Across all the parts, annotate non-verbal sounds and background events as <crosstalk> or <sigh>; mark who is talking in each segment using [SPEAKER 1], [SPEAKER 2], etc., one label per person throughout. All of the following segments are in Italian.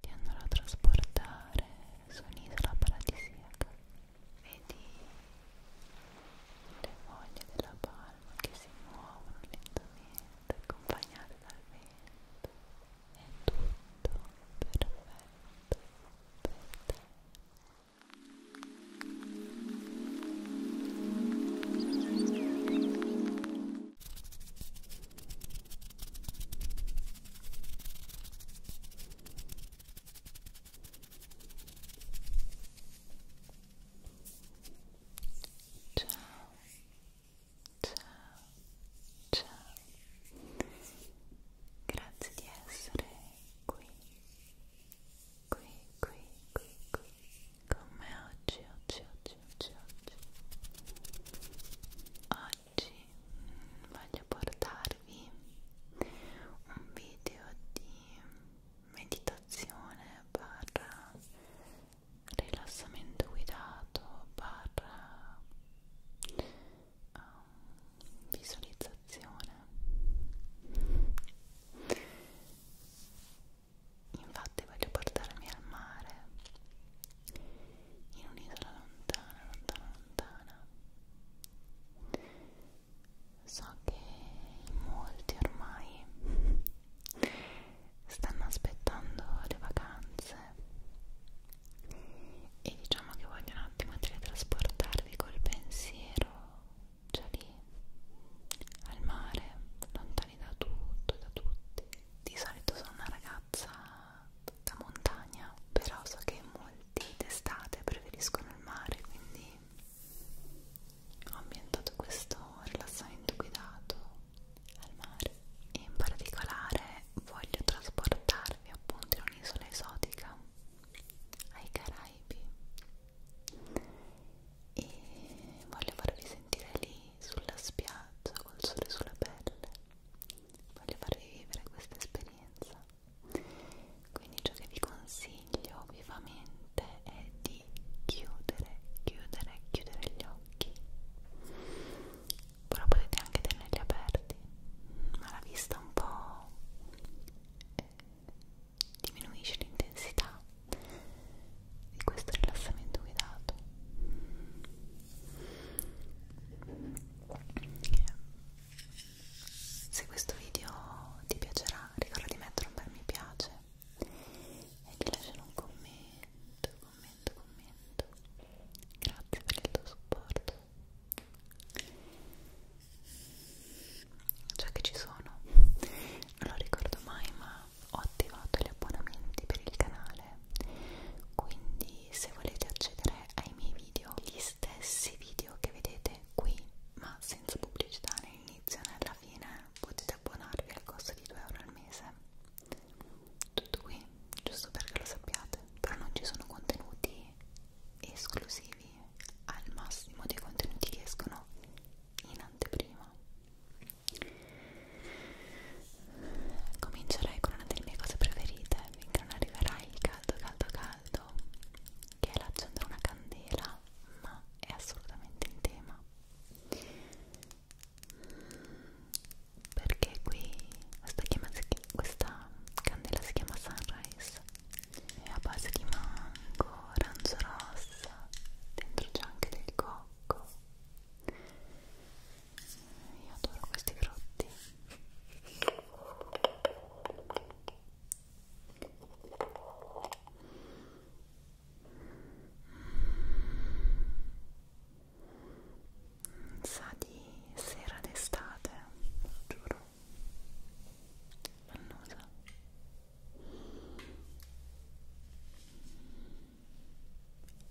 [SPEAKER 1] ti andrò a trasportare su un'isola paradisiaca vedi le foglie della palma che si muovono lentamente accompagnate dal vento è tutto perfetto per te Ciao, ciao, ciao. Grazie di essere qui, qui, qui, qui, qui, con me oggi, oggi, oggi, oggi, oggi oggi mm, voglio portarvi un video di meditazione barra rilassamento guidato barra um, visualizzazione infatti voglio portarmi al mare in un'isola lontana, lontana, lontana. So che molti ormai <laughs> stanno aspettando le vacanze e diciamo che voglio un attimo teletrasportarvi col pensiero già lì al mare, lontani da tutto e da tutti. Di solito sono una ragazza piazza, da montagna, però so che molti d'estate preferiscono il mare, quindi ho ambientato questo rilassamento guidato al mare. E in particolare voglio trasportarvi appunto in un'isola esotica ai Caraibi e voglio farvi sentire lì sulla spiaggia col sole sulla pelle voglio farvi vivere questa esperienza quindi ciò che vi consiglio vivamente è di chiudere chiudere chiudere gli occhi però potete anche tenerli aperti ma la vista un po' eh, diminuisce l'intensità di questo rilassamento guidato se questo video ti piacerà, ricorda di mettere un bel mi piace e di lasciare un commento, commento, commento. Grazie per il tuo supporto. Già che ci sono, non lo ricordo mai, ma ho attivato gli abbonamenti per il canale quindi se volete accedere ai miei video gli stessi video che vedete qui ma senza pubblicità né inizio né alla fine potete abbonarvi al costo di 2 euro al mese tutto qui giusto perché lo sappiate però non ci sono contenuti esclusivi al massimo dei contenuti che escono in anteprima Comincerei con una delle mie cose preferite finché non arriverà il caldo caldo caldo che è l'accendere una candela ma è assolutamente in tema perché qui questa, chiama, questa candela si chiama Sunrise è a base di mango, arancio rossa dentro c'è anche del cocco io adoro questi frutti. Mm, sa di sera d'estate, giuro. Annosa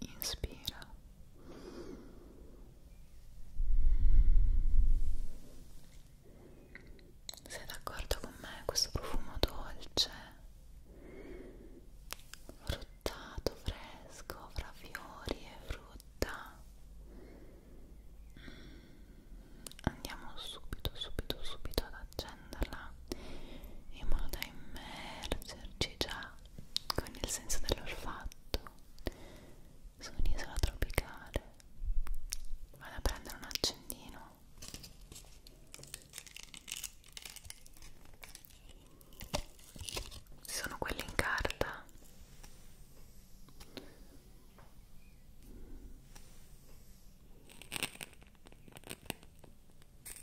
[SPEAKER 1] inspira sei d'accordo con me questo profumo dolce fruttato fresco fra fiori e frutta mm. andiamo subito subito subito ad accendere prenderla in modo da immergerci già con il senso dell'olfatto su un'isola tropicale vado a prendere un accendino sono quelli in carta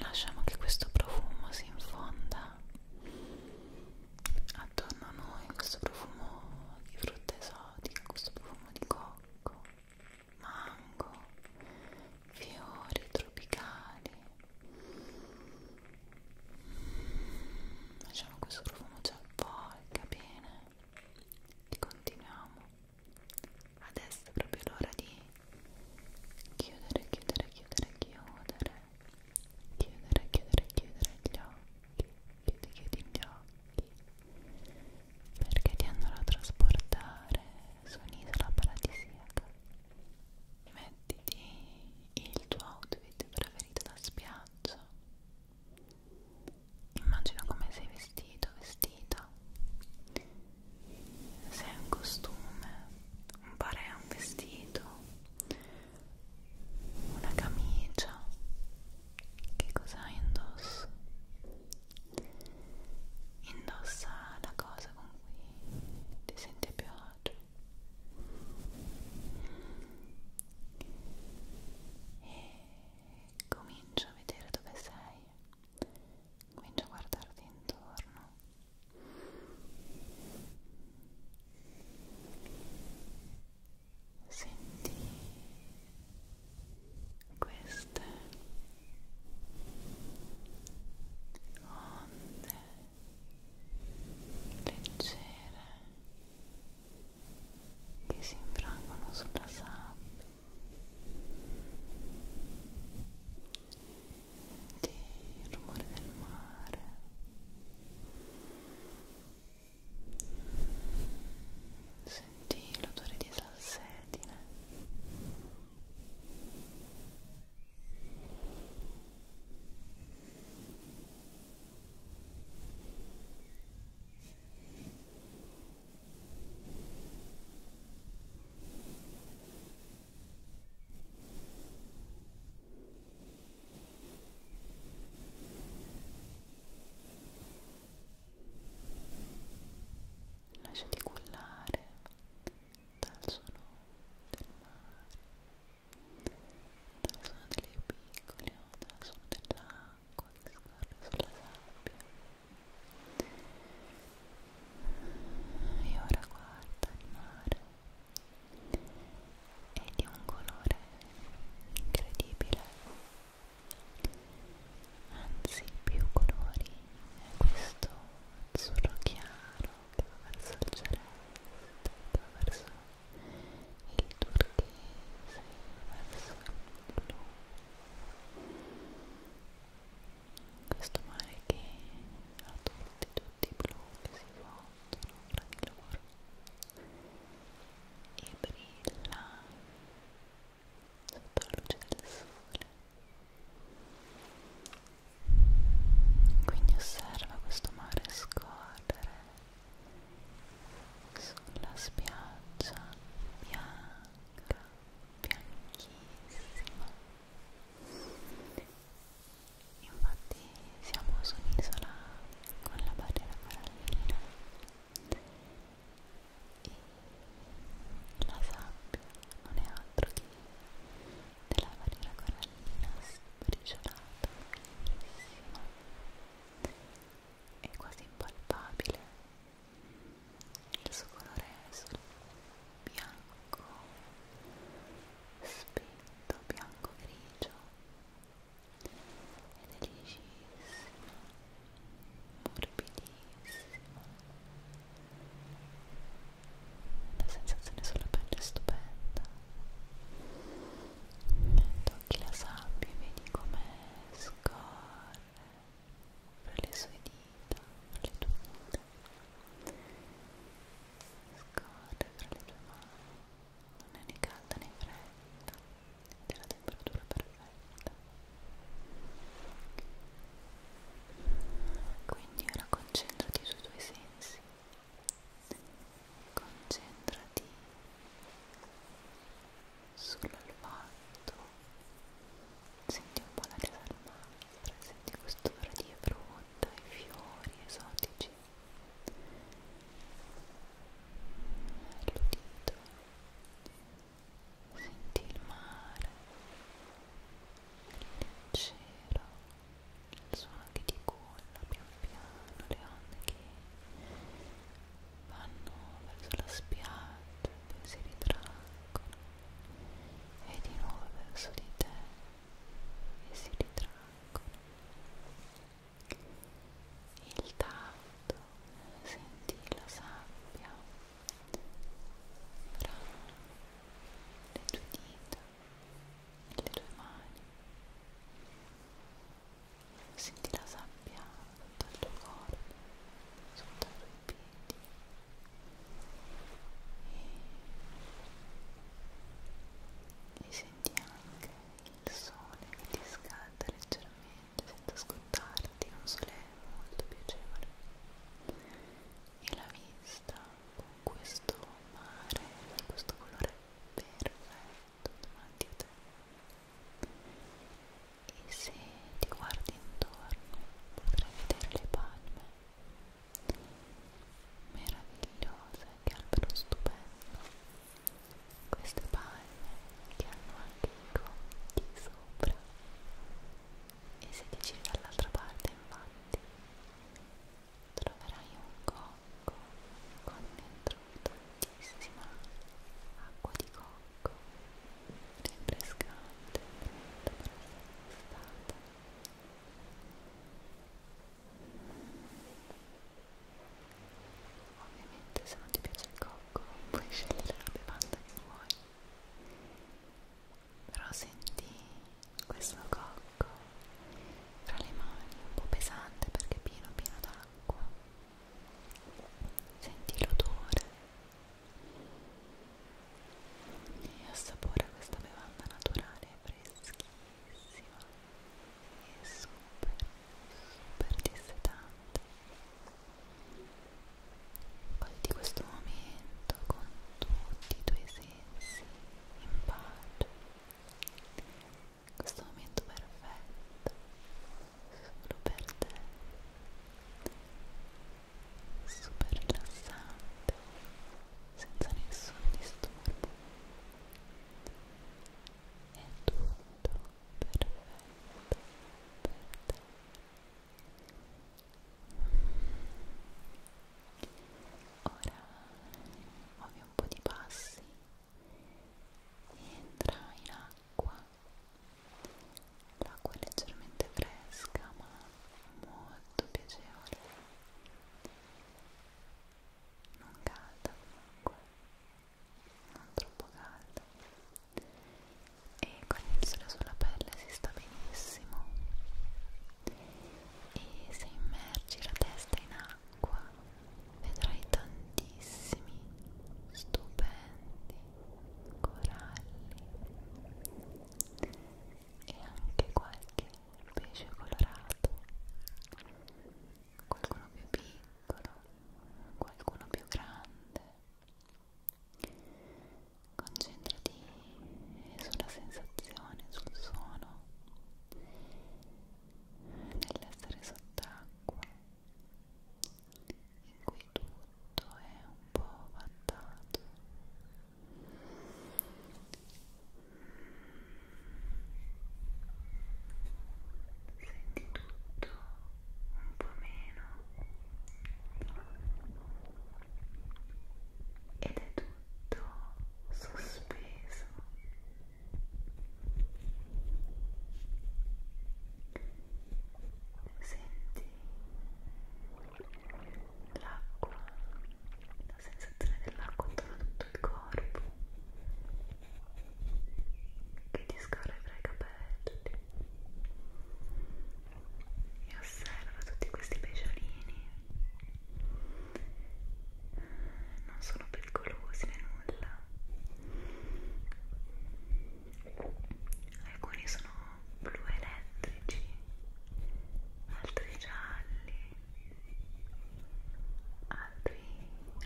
[SPEAKER 1] lasciamo che questo profumo si infonda attorno a noi questo profumo di frutta esotica questo profumo di cocco mango fiori tropicali lasciamo questo profumo ci avvolga bene e continuiamo adesso è proprio l'ora di chiudere, chiudere, chiudere, chiudere chiudere, chiudere, chiudere gli occhi chiudi, chiudi gli occhi perché ti andrò a trasportare su un'isola paradisiaca mettiti il tuo outfit preferito da spiaggia immagina come sei vestito, vestita vestito se è un costume un pareo, un vestito una camicia che cosa indosso? indossa la cosa con cui ti senti più agio e comincio a vedere dove sei comincio a guardarti intorno senti queste onde leggere che si infrangono sulla sabbia il rumore del mare sentì l'odore di salsedine Lasciati cullare dal suono del mare, dal suono delle piccole, dal suono dell'acqua l'acqua che scorre sulla sabbia e ora guarda il mare è di un colore incredibile anzi più colori è questo azzurro chiaro che va verso il celeste che va verso il turchese verso il blu questo mare che ha tutti tutti i blu che si fondono fra di loro e brilla sotto la luce del sole quindi osserva questo mare scorrere sulla spiaggia piano bianca, bianchissima. Infatti siamo su un'isola con la barriera corallina e la sabbia non è altro che della barriera corallina sbriciolata, bellissima è quasi impalpabile il suo colore è sul bianco spento, bianco grigio è delicissimo, morbidissimo la sensazione sulla pelle è stupenda tocchi la sabbia e vedi come scorre fra le sue dita, fra le tue dita scorre fra le tue mani non è né calda né fredda ed è la temperatura perfetta quindi ora concentrati sui tuoi sensi concentrati sul volto senti un po' la salmastra senti quest'ora di frutta e fiori esotici l'udito senti il mare il cielo il suono che ti culla pian piano le onde che vanno verso la spiaggia, poi si ritraggono e di nuovo verso di te e si ritraggono. Il tatto, senti la sabbia fra le tue dita e le tue mani senti la sabbia sotto il tuo corpo, sotto i tuoi piedi e, e senti anche il sole che ti scalda leggermente senza scottarti, un sole molto piacevole e la vista con questo mare di questo colore perfetto letto davanti a te e se ti guardi intorno potrai vedere le palme meravigliose che albero stupendo queste palme che hanno anche i conti sopra e se ti giri dall'altra parte infatti troverai un cocco con dentro tantissima acqua di cocco rinfrescante pronta per essere stata ovviamente se non ti piace il cocco puoi scegliere la bevanda che vuoi però senti questo cocco tra le mani un po' pesante perché è pieno pieno d'acqua senti l'odore e assapora questa bevanda naturale freschissima e super super dissetante goditi questo momento con tutti i tuoi sensi in pace questo momento perfetto solo per te super rilassante senza nessun disturbo è tutto perfetto per te ora muovi un po' di passi entra in acqua l'acqua è leggermente fresca ma molto piacevole non calda comunque non troppo calda e con il sole sulla pelle si sta benissimo e se immergi la testa in acqua acqua vedrai tantissimi stupendi coralli e anche qualche pesce colorato qualcuno più piccolo qualcuno più grande concentrati sulla sensazione sul suono nell'essere sott'acqua in cui tutto è un po' vattato senti tutto un po' meno ed è tutto sospeso senti l'acqua la sensazione dell'acqua attorno a tutto il corpo che ti scorre tra i capelli e osserva tutti questi pesciolini non sono pericolosi né nulla alcuni sono blu elettrici altri gialli altri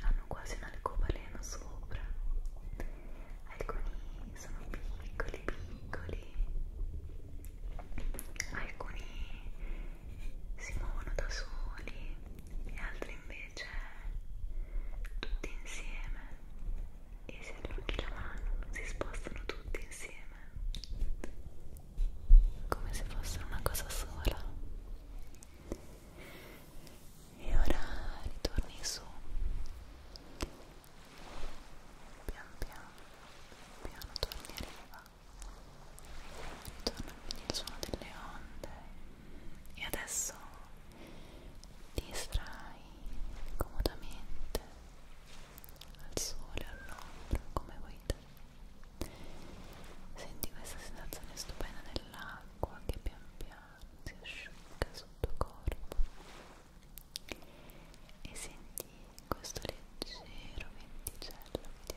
[SPEAKER 1] hanno quasi un alcobaleno sopra alcuni sono piccoli piccoli alcuni si muovono da soli e altri invece c'è cioè, tutti insieme e se allunghi la mano si spostano tutti insieme come se fosse una cosa sola e ora ritorni su pian piano piano torni a riva ritorna quindi il suono delle onde e adesso ti estrai comodamente al sole, all'ombra, come vuoi te senti questa sensazione stupenda dell'acqua che pian piano si asciuga sul tuo corpo e senti questo leggero venticello che ti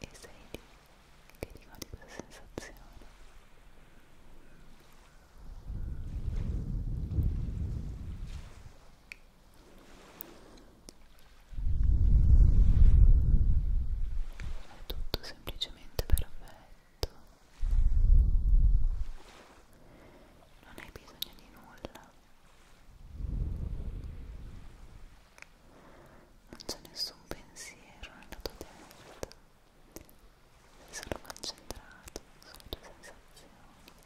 [SPEAKER 1] e sei lì che rimane questa sensazione è tutto semplicemente perfetto letto non hai bisogno di nulla non c'è nessun pensiero nella tua testa sei solo concentrato sulle tue sensazioni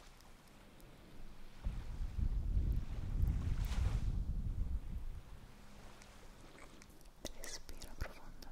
[SPEAKER 1] respira profondamente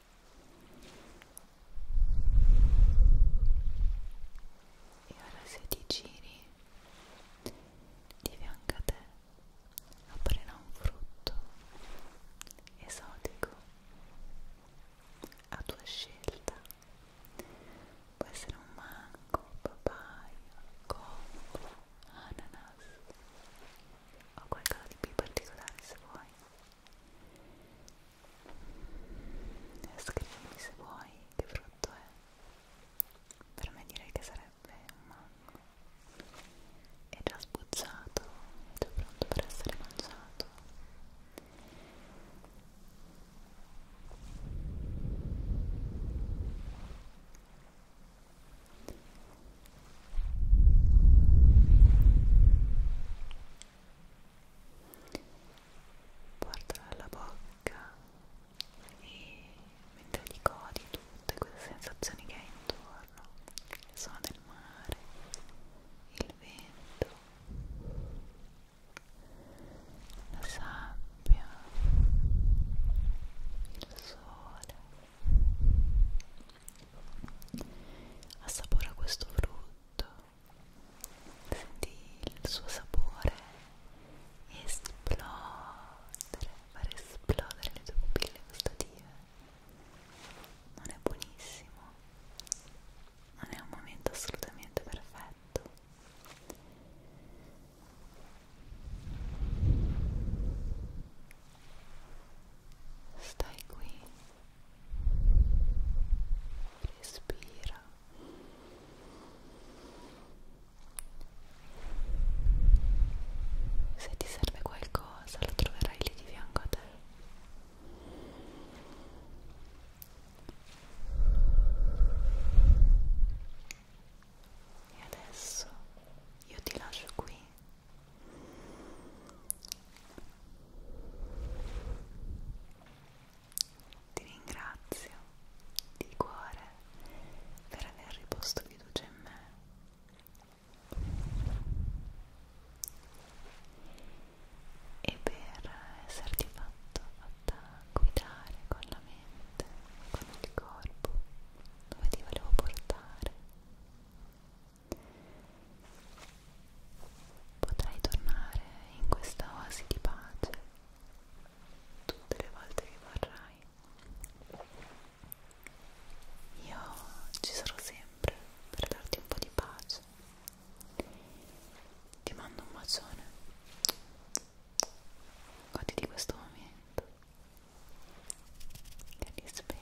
[SPEAKER 1] e ora se ti giri di fianco a te apparirà un frutto esotico a tua scelta può essere un mango, papaya, cocco, ananas o qualcosa di più particolare se vuoi Scrivimi se vuoi che frutto è. Per me direi che sarebbe un mango. È già sbucciato, è già pronto per essere mangiato portalo alla bocca e mentre ricodi tutte queste sensazioni che hai intorno il suono del mare il vento la sabbia il sole assapora questo frutto senti il suo sapore esplodere, far esplodere le tue pupille gustative. Non è buonissimo, non è un momento assolutamente perfetto. Stai qui respira se ti serve qualcosa lo troverai lì di fianco a te e adesso io ti lascio qui ti ringrazio di cuore per aver riposto fiducia in me. E per esserti fatto, fatta guidare con la mente, con il corpo, dove ti volevo portare. Potrai tornare in questa oasi di pace tutte le volte che vorrai. Io ci sarò sempre per darti un po' di pace. Ti mando un bacione. Goditi questo momento. Che ti spera.